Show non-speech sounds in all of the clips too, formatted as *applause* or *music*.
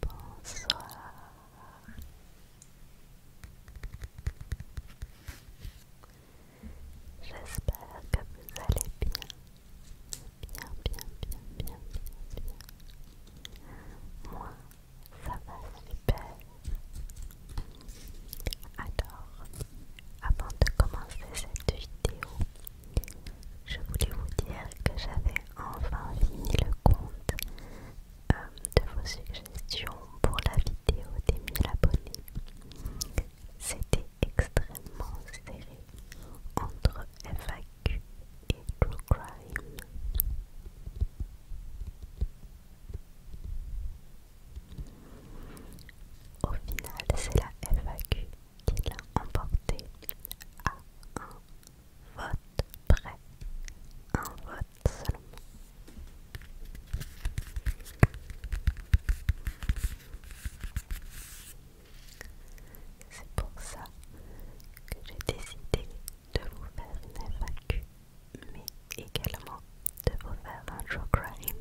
Bonsoir. J'espère que vous allez bien. Bien, bien, bien, bien, bien, bien. Moi, ça va super. Alors, avant de commencer cette vidéo, je voulais vous dire que j'avais enfin fini le compte euh, de vos suggestions pour la vidéo des 1000 abonnés. C'était extrêmement serré entre FAQ et True Crime. Au final, c'est la FAQ qui l'a emporté à un vote prêt un vote seulement. C'est pour ça que j'ai décidé de vous faire une FAQ, mais également de vous faire un show crime.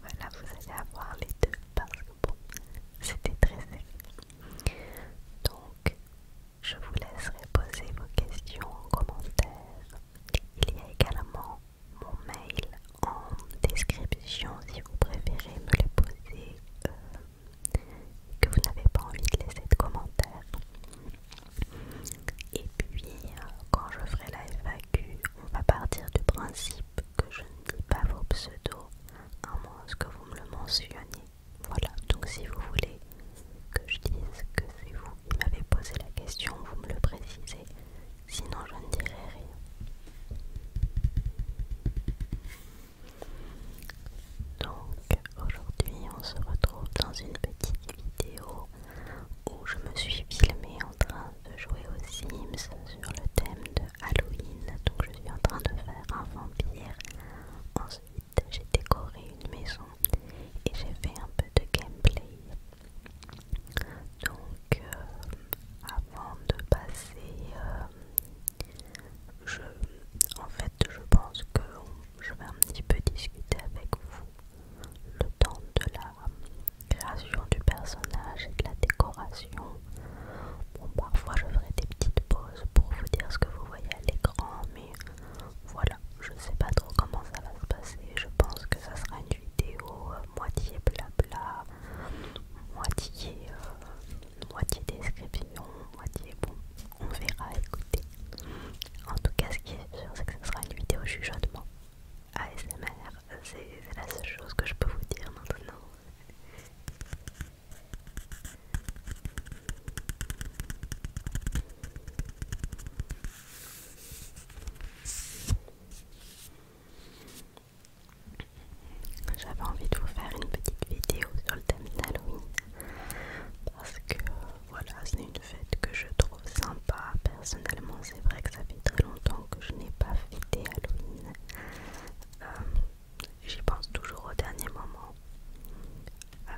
voilà, vous allez avoir les deux parce que bon, c'était très sérieux. Donc, je vous laisserai poser vos questions en commentaire. Il y a également mon mail en description si vous préférez me le poser et euh, que vous n'avez pas envie de laisser de commentaires. Et puis, euh, quand je ferai la FAQ, on va partir du principe que je ne dis pas vos pseudos, à moins que vous me le mentionniez. Voilà, donc si vous voulez que je dise que c'est vous qui m'avez posé la question, vous me le précisez, sinon je ne dirai rien. Donc aujourd'hui on se retrouve dans une petite vidéo où je me suis filmée en train de jouer aux Sims sur le thème de Halloween. Donc je suis en train de faire un vampire Ensuite, j'ai décoré une maison et j'ai fait un peu de gameplay. Donc, euh, avant de passer, euh, je, en fait, je pense que je vais un petit peu discuter avec vous le temps de la création du personnage et de la décoration. Bon, parfois je ferai des petites pauses pour vous dire ce que vous voyez à l'écran, mais voilà, je sais pas trop comment ça va se passer. Je pense que ça sera une vidéo euh, moitié blabla, moitié, euh, moitié description, moitié bon. On verra, écoutez. En tout cas, ce qui est sûr, c'est que ce sera une vidéo chuchotement. ASMR, c'est la seule chose que je peux vous dire maintenant. J'avais envie de vous faire une petite vidéo sur le thème d'Halloween parce que voilà, c'est une fête que je trouve sympa. Personnellement, c'est vrai que ça fait très longtemps que je n'ai pas fêté Halloween. Euh, j'y pense toujours au dernier moment. Euh,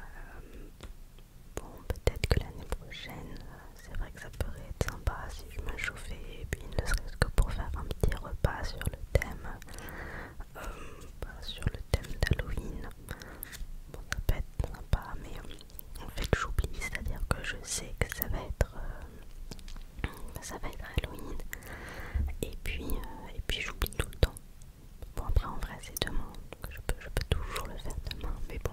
bon, peut-être que l'année prochaine, euh, c'est vrai que ça pourrait être sympa si je me chauffais, et puis ne serait-ce que pour faire un petit repas sur le thème, euh, sur le thème d'Halloween. Bon, ça peut être sympa, mais en fait, j'oublie, c'est-à-dire que je sais que ça va être, ça va être Halloween, et puis, et puis j'oublie tout le temps. Bon après en vrai c'est demain, donc je peux, toujours le faire demain, mais bon.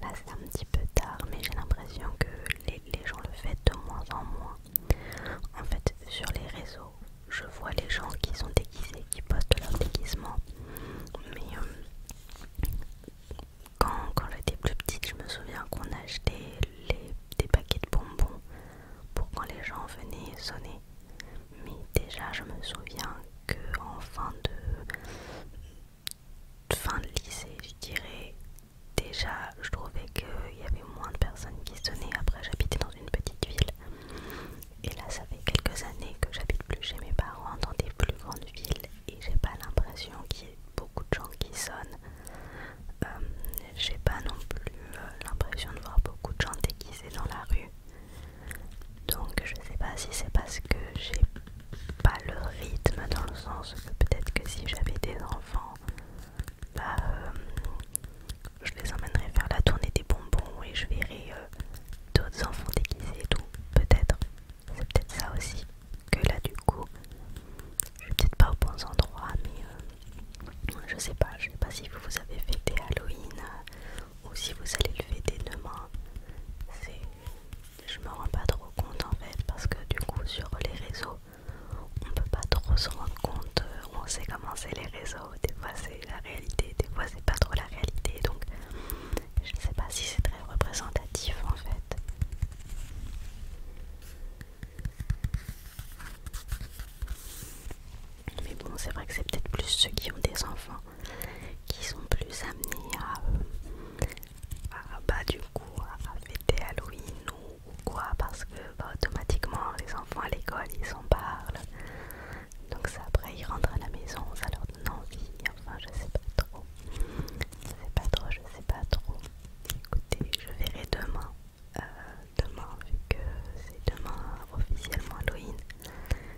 Là c'est un petit peu tard, mais j'ai l'impression que les, gens le font de moins en moins. En fait sur les réseaux, je vois les gens qui sont déguisés, qui postent leur déguisements Mais euh, quand, quand j'étais plus petite, je me souviens qu'on achetait des paquets de bonbons pour quand les gens venaient sonner. Mais déjà, je me souviens qu'en fin de fin de lycée, je dirais, déjà, je trouvais qu'il y avait moins de personnes qui sonnaient. Après, j'habitais dans une petite ville. Et là, ça fait quelques années que j'habite plus chez mes parents dans des plus grandes villes et j'ai pas l'impression qu'il y ait beaucoup de gens qui sonnent. Euh, j'ai pas non plus euh, l'impression de voir beaucoup de gens déguisés dans la rue. Donc je sais pas si c'est parce que j'ai pas le rythme dans le sens que peut-être que si j'avais des enfants, bah euh, je les emmènerais faire la tournée des bonbons et je verrais euh, d'autres enfants déguisés et tout, peut-être. C'est peut-être ça aussi que là du coup, je suis peut-être pas au bon endroit, mais je sais pas, je sais pas si vous, vous avez fêté Halloween euh, ou si vous allez le fêter demain. Je me rends pas trop compte en fait parce que du coup sur les réseaux on peut pas trop se rendre compte, euh, on sait comment c'est les réseaux, des fois c'est la réalité, des fois c'est pas trop la réalité donc je ne sais pas si c'est très représentatif en fait. Mais bon, c'est vrai que c'est peut-être plus ceux qui ont des enfants qui sont plus amenés à, euh, bah, du coup, à fêter Halloween ou, quoi, parce que bah, automatiquement les enfants à l'école ils en parlent. Donc ça après ils rentrent à la maison, ça leur donne envie, enfin je sais pas trop. Je sais pas trop, je sais pas trop. Écoutez, je verrai demain. Euh, demain, vu que c'est demain officiellement Halloween,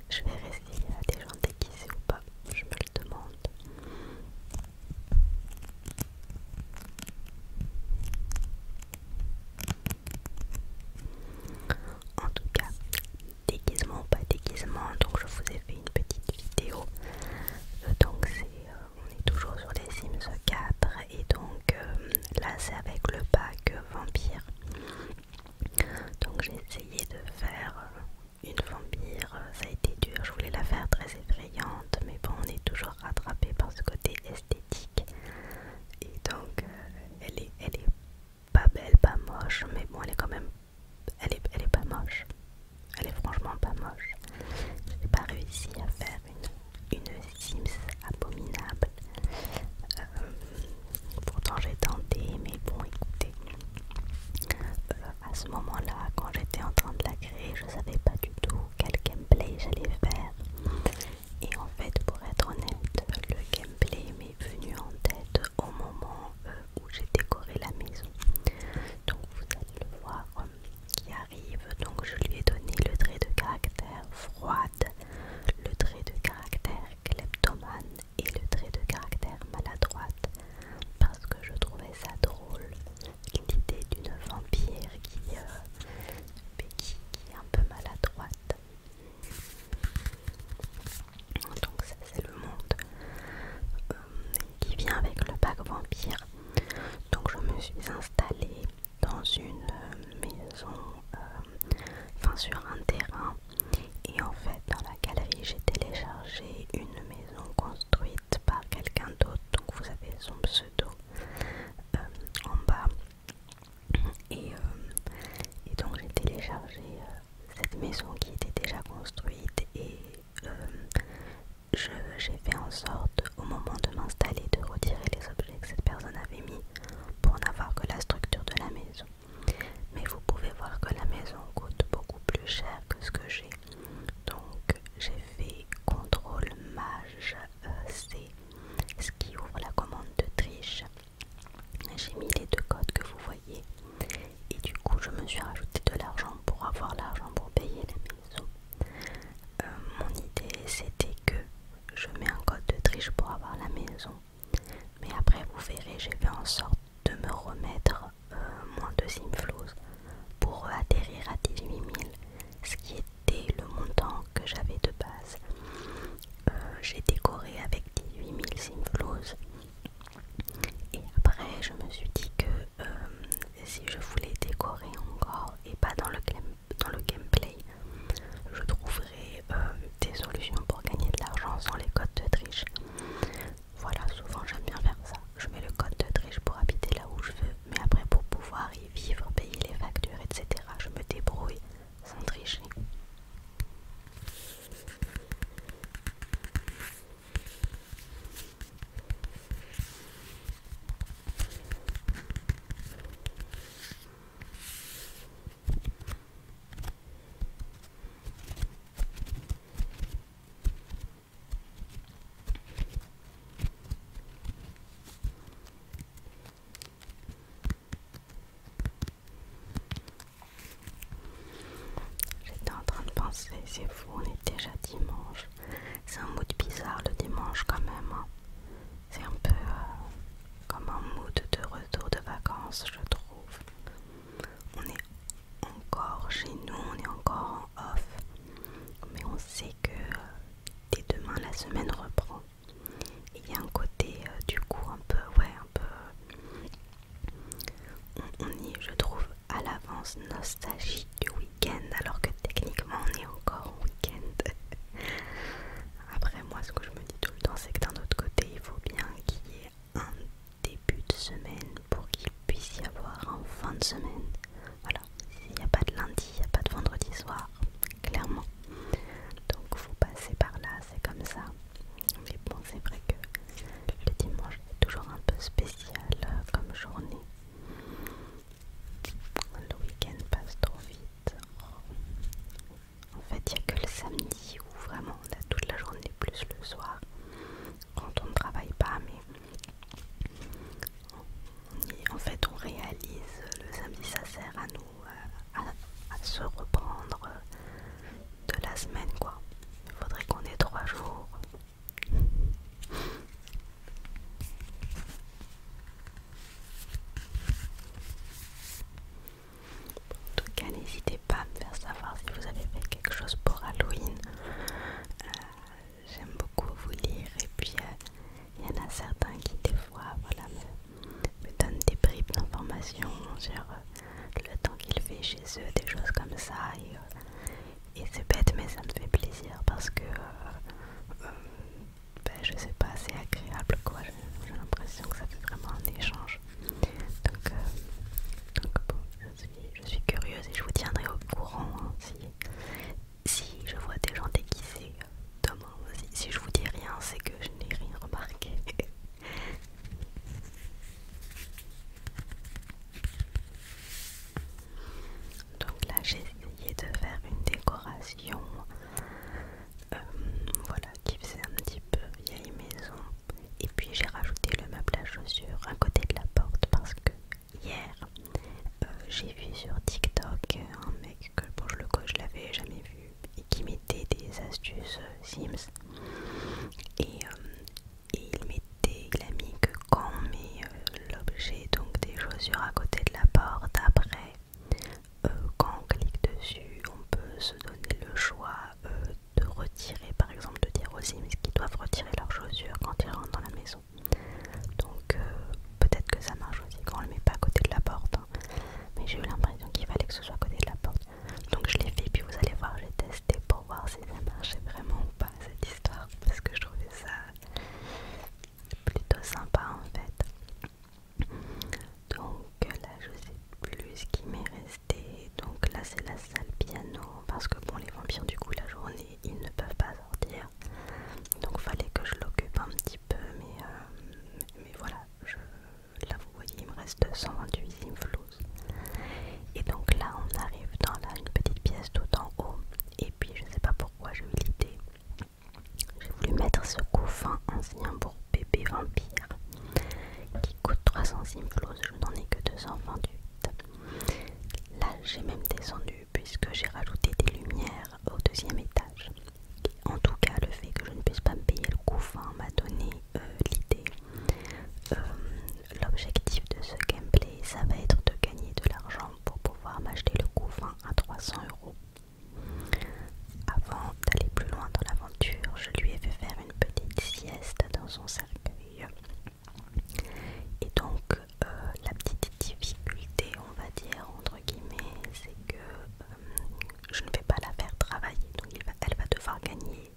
je vais rester à des gens déguisés ou pas, je me le demande. En tout cas, déguisement ou pas déguisement, donc je vous ai fait une petite vidéo. Euh, donc c'est, euh, on est toujours sur les Sims 4 et donc euh, là c'est avec le pack vampire donc j'ai essayé de faire une vampire ça a été dur je voulais la faire très effrayante mais bon on est toujours rattrapé par ce côté esthétique et donc euh, elle est elle est pas belle pas moche mais bon elle est quand même elle est, pas moche elle est franchement pas moche n'ai pas réussi à faire une, Sims abominable. Euh, pourtant j'ai tenté, mais bon écoutez, euh, à ce moment-là, quand j'étais en train de la créer, je savais pas du tout quel gameplay j'allais faire. Et en fait, pour être honnête, le gameplay m'est venu en tête au moment euh, où j'ai décoré la maison. Donc vous allez le voir qui arrive. Donc je lui ai donné le trait de caractère froide le trait de caractère kleptomane et le trait de caractère maladroite parce que je trouvais ça drôle l'idée d'une vampire qui, euh, qui, est un peu maladroite. Donc ça c'est le monde euh, qui vient avec le pack vampire. Donc je me suis installée dans une euh, maison, euh, enfin sur un terrain. Et en fait, dans la galerie, j'ai téléchargé une maison construite par quelqu'un d'autre. Donc vous avez son pseudo euh, en bas. Et, donc j'ai téléchargé cette maison qui était déjà construite et j'ai fait en sorte au moment de m'installer de retirer les objets que cette personne avait mis pour n'avoir que la structure de la maison. Mais vous pouvez voir que la maison coûte beaucoup plus cher que ce que j'ai. Donc j'ai fait contrôle mage euh, C, ce qui ouvre la commande de triche. J'ai mis les deux codes que vous voyez. Et du coup, je me suis rajouté de l'argent pour avoir l'argent pour payer la maison. Euh, mon idée c'était que je mets un code de triche pour avoir la maison. Mais après vous verrez, j'ai fait en sorte de me remettre euh, moins de Simflose pour atterrir à 18 000, ce qui était le montant que j'avais de base. Euh, j'ai décoré avec 18 000 simflows. Et après, je me suis dit que si je voulais décorer encore et pas dans le clem dans le gameplay, je trouverai euh, des solutions pour gagner de l'argent sans les codes de triche. Voilà, souvent j'aime bien faire ça. Je mets le code de triche pour habiter là où je veux, mais après pour pouvoir y vivre, payer les factures, etc., je me débrouille sans tricher. J'étais en train de penser, c'est fou, on est déjà dimanche. C'est un mood bizarre le dimanche quand même. Hein. C'est un peu euh, comme un mood de retour de vacances, je trouve. On est encore chez nous, on est encore en off, mais on sait que dès demain la semaine reprend. Il y a un côté euh, du coup un peu, ouais, un peu. On, est, je trouve, à l'avance nostalgique du week-end, alors que techniquement on est encore au week-end. *laughs* Après, moi, ce que je me dis tout le temps, c'est que d'un autre côté, il faut bien qu'il y ait un début de semaine pour qu'il puisse y avoir un fin de semaine. Voilà, s'il n'y a pas de lundi, il n'y a pas de vendredi soir, clairement. Donc, faut passer par là, c'est comme ça. Mais bon, c'est vrai que le dimanche est toujours un peu spécial euh, comme journée. Le week-end passe trop vite. En fait, il n'y a que le samedi où vraiment on a toute la journée, plus le soir, quand on ne travaille pas, mais en fait on réalise le samedi, ça sert à nous euh, à, se reprendre euh, de la semaine, quoi. Il faudrait qu'on ait trois jours. En tout cas, n'hésitez pas à me faire savoir si vous avez fait quelque chose pour Halloween. Euh, j'aime beaucoup vous lire et puis euh, il y en a certains qui des fois me, donnent des bribes d'informations sur euh, le temps qu'il fait chez eux, des choses comme ça. Et, c'est bête mais ça me fait plaisir parce que je ben, je sais pas, c'est agréable quoi. J'ai l'impression que ça fait vraiment un échange. Donc, euh, bon, je suis, curieuse et je vous tiendrai au courant hein, si, je vois des gens déguisés demain. Si, si je vous dis rien, c'est que je n'ai rien remarqué. *laughs* Donc là j'ai essayé de faire une décoration euh, voilà qui faisait un petit peu vieille maison et puis j'ai rajouté le meuble à chaussures à côté de la porte parce que hier euh, j'ai vu sur TikTok un mec que bon je le je l'avais jamais vu et qui mettait des astuces euh, Sims et, il mettait il a mis que quand on met l'objet donc des chaussures à côté de la porte après euh, quand on clique dessus, on peut se donner le choix euh, de retirer, par exemple de dire aux Sims qu'ils doivent retirer leurs chaussures quand ils rentrent dans la maison. Donc euh, peut-être que ça marche aussi quand on le met pas à côté de la porte. Hein. Mais j'ai eu l'impression qu'il fallait que ce soit à côté de la porte. Donc je l'ai fait, puis vous allez voir, j'ai testé pour voir si ça marchait vraiment ou pas cette histoire. Parce que je trouvais ça plutôt sympa en fait. Donc là je sais plus ce qui m'est resté. Donc là c'est la salle piano parce que bon les vampires du coup la journée ils ne peuvent pas sortir. Donc fallait que je l'occupe un petit peu mais, euh, mais voilà je, là vous voyez il me reste 128 inflows. Et donc là on arrive dans là, une petite pièce tout en haut et puis je sais pas pourquoi j'ai eu l'idée j'ai voulu mettre ce couffin ancien pour bébé vampire qui coûte 300 simflo. je n'en ai que 228. Là, j'ai même descendu puisque j'ai rajouté des lumières au deuxième étage. En tout cas, le fait que je ne puisse pas me payer le couffin m'a donné euh, l'idée. Euh, l'objectif de ce gameplay, ça va être de gagner de l'argent pour pouvoir m'acheter le couffin à 300 euros. Avant d'aller plus loin dans l'aventure, je lui ai fait faire une petite sieste dans son cercueil. Et donc, euh, la petite difficulté, on va dire, entre guillemets, c'est que euh, je ne vais pas la faire travailler. Donc, elle va devoir gagner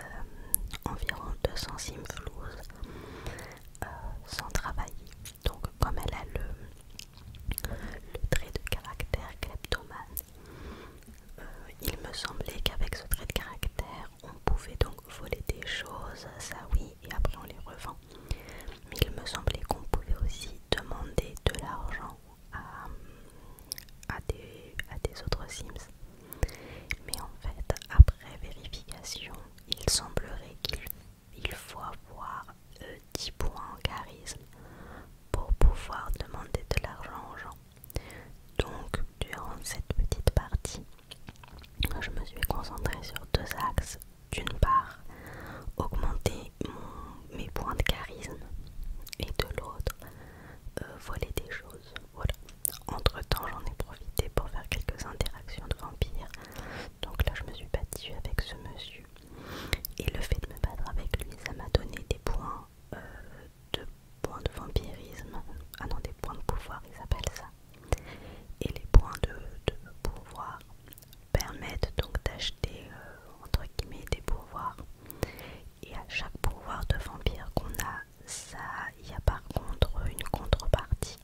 euh, environ 200 simflouz sans travailler. Donc, comme elle a le le trait de caractère kleptomane. Euh, il me semblait qu'avec ce trait de caractère, on pouvait donc voler des choses, ça oui, et après on les revend. Mais il me semblait qu'on pouvait aussi demander de l'argent à, à, des, à des autres Sims. Mais en fait, après vérification, il semblerait qu'il il faut avoir 10 points en charisme pour pouvoir demander de l'argent aux gens. Donc, durant cette petite partie, je me suis concentrée sur deux axes. D'une part, augmenter mes points de charisme et de l'autre, euh, voler des choses. Voilà. Entre temps, j'en ai profité pour faire quelques interactions de vampires. Donc là, je me suis battue avec ce monsieur et le fait de me battre avec lui, ça m'a donné des points euh, de points de vampirisme. Ah non, des points de pouvoir, ils appellent ça. Et les points de, pouvoir permettent donc d'acheter euh, entre guillemets des pouvoirs. Et à chaque pouvoir de vampire qu'on a, ça, il y a par contre une contrepartie.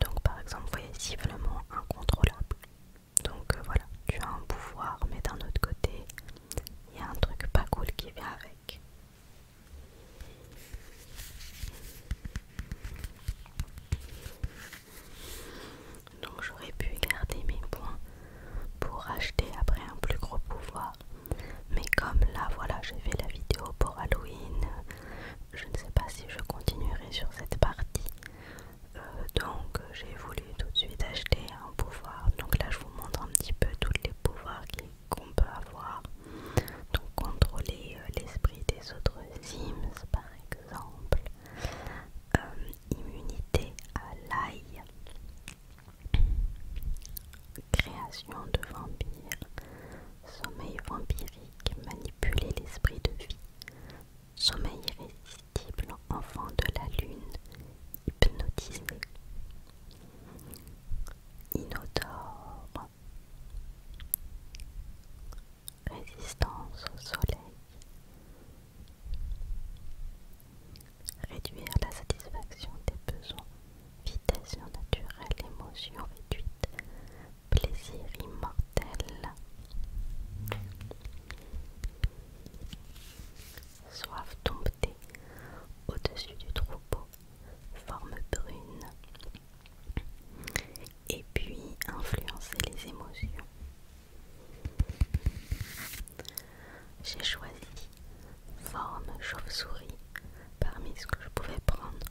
Donc par exemple, vous voyez vraiment incontrôlable. Donc euh, voilà, tu as un pouvoir, mais d'un autre côté, il y a un truc pas cool qui vient avec. Donc j'aurais pu garder mes points pour acheter après un plus gros pouvoir. Mais comme là, voilà, j'ai fait la vidéo pour Halloween, je ne sais pas si je continuerai sur cette partie. Euh, donc j'ai voulu tout de suite acheter un pouvoir. Donc là je vous montre un petit peu tous les pouvoirs qu'on peut avoir. Donc contrôler euh, l'esprit des autres Sims par exemple. Euh, immunité à l'ail. Création de vampires. Sommeil vampirique. Manipuler l'esprit de vie sommeil irrésistible, enfant de la lune, hypnotisé, inodore, résistance au soleil, réduire la satisfaction des besoins, vitesse naturelle, émotion réduite, plaisir immortel. Soif tomber au-dessus du troupeau, forme brune, et puis influencer les émotions. J'ai choisi forme chauve-souris parmi ce que je pouvais prendre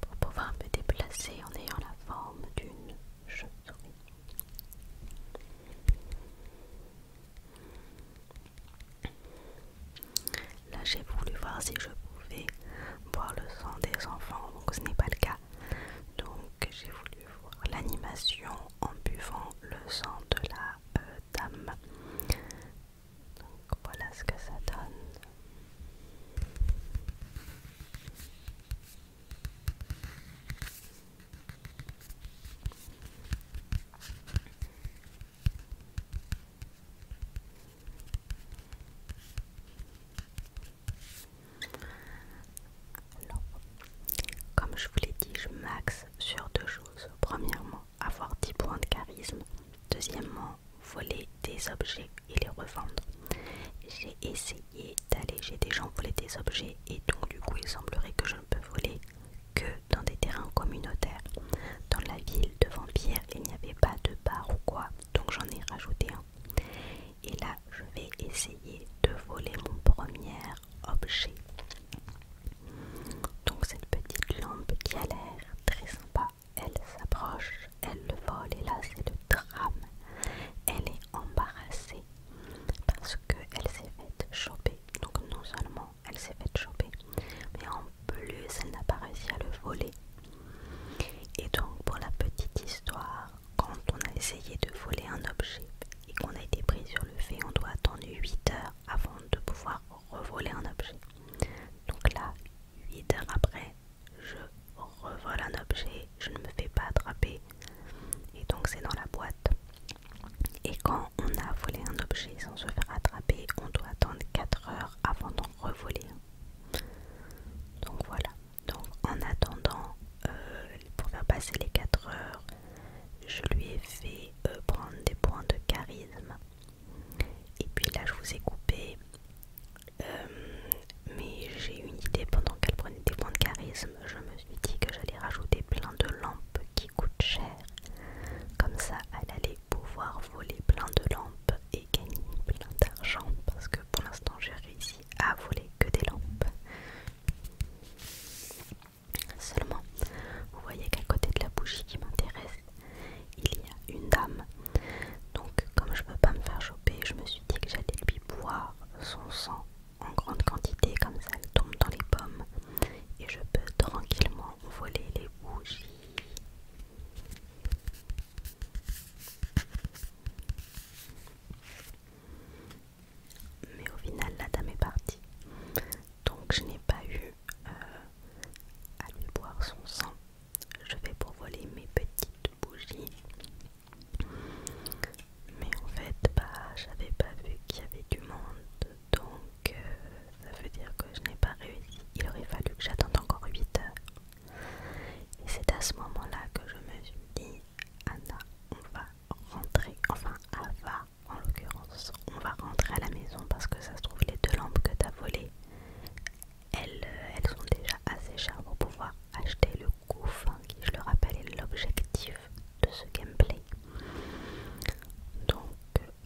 pour pouvoir me déplacer en ayant la forme d'une Là, j'ai voulu voir si je pouvais boire le sang des enfants, donc ce n'est pas le cas. Donc, j'ai voulu voir l'animation en buvant le sang de la euh, dame. Donc, voilà ce que ça donne. Alors, comme je vous l'ai dit, je maxe sur deux choses. Premièrement, avoir 10 points de charisme. Deuxièmement, voler des objets et les revendre. J'ai essayé d'aller j'ai des gens voler des objets et donc du coup il semblerait que je ne peux voler que dans des terrains communautaires. Dans la ville de Vampire, il n'y avait pas de bar ou quoi, donc j'en ai rajouté un. Et là, je vais essayer de voler mon premier objet. Donc cette petite lampe qui a l'air très sympa, elle s'approche elle le vole et là c'est le drame. Elle est embarrassée parce qu'elle s'est faite choper. Donc non seulement elle s'est faite choper, mais en plus elle n'a pas réussi à le voler. Et donc pour la petite histoire, quand on a essayé de voler un objet et qu'on a été pris sur le fait, on doit attendre 8 heures avant de pouvoir revoler un objet. Donc là, 8 heures après, je revole un objet, je ne me fais pas attraper. Et donc c'est dans la boîte. Et quand on a volé un objet sans se faire attraper, on doit attendre 4 heures avant d'en revoler. Donc voilà. Donc en attendant, euh, pour faire passer les 4 heures, je lui ai fait euh, prendre des points de charisme. Et puis là, je vous ai coupé euh, mais j'ai eu une idée pendant qu'elle prenait des points de charisme, je me suis dit que j'allais rajouter plein de lampes qui coûtent cher. Comme ça, elle allait pouvoir voler plein de lampes et gagner plein d'argent parce que pour l'instant, j'ai réussi à voler que des lampes. Seulement, vous voyez qu'à côté de la bougie qui m'intéresse, il y a une dame donc comme je ne peux pas me faire choper, je me suis dit que j'allais lui boire son sang en grande quantité, comme ça elle tombe dans les pommes et je peux tranquillement voler les bougies. Mais au final, la dame est partie. Donc je n'ai pas eu euh, à lui boire son sang. Je vais pour voler mes petites bougies. Mais en fait, bah, j'avais pas vu qu'il y avait du monde, donc euh, ça veut dire que je n'ai pas réussi. Il aurait fallu que j'attende encore 8 heures. Et c'est à ce moment-là que je me suis dit, Anna, on va rentrer, enfin, Ava en l'occurrence, on va rentrer à la maison parce que ça se trouve, les deux lampes que t'as volées, euh, elles, sont déjà assez chères pour pouvoir acheter le gouffre qui, je le rappelle, est l'objectif de ce gameplay. Donc,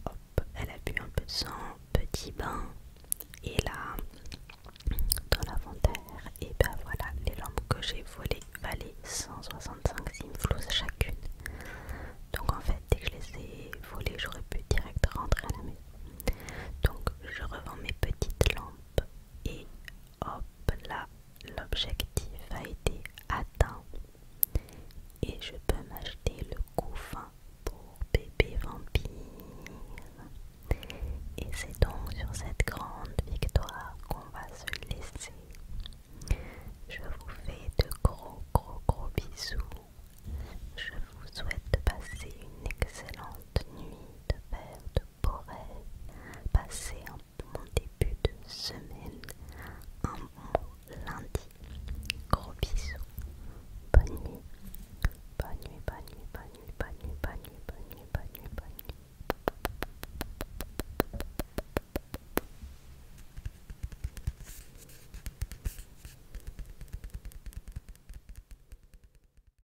hop, elle a bu un peu de sang, petit bain, et là, dans l'inventaire, et ben voilà, les lampes que j'ai volées valaient 165 simflous chacune. Donc en fait, dès que je les ai volées, j'aurais pu direct rentrer à la maison. Donc je revends mes petites lampes et hop là, l'objectif a été atteint. Et je peux m'acheter le couffin pour bébé vampire. Et c'est donc sur cette grande victoire qu'on va se laisser. Je vous fais de gros gros gros bisous. Je vous souhaite de passer une excellente nuit de Père de pourrais passer mon début de semaine un lundi. Gros bisous. Bonne nuit. Bonne nuit, bonne nuit, bonne nuit, bonne nuit, bonne nuit, bonne nuit, bonne nuit, bonne nuit.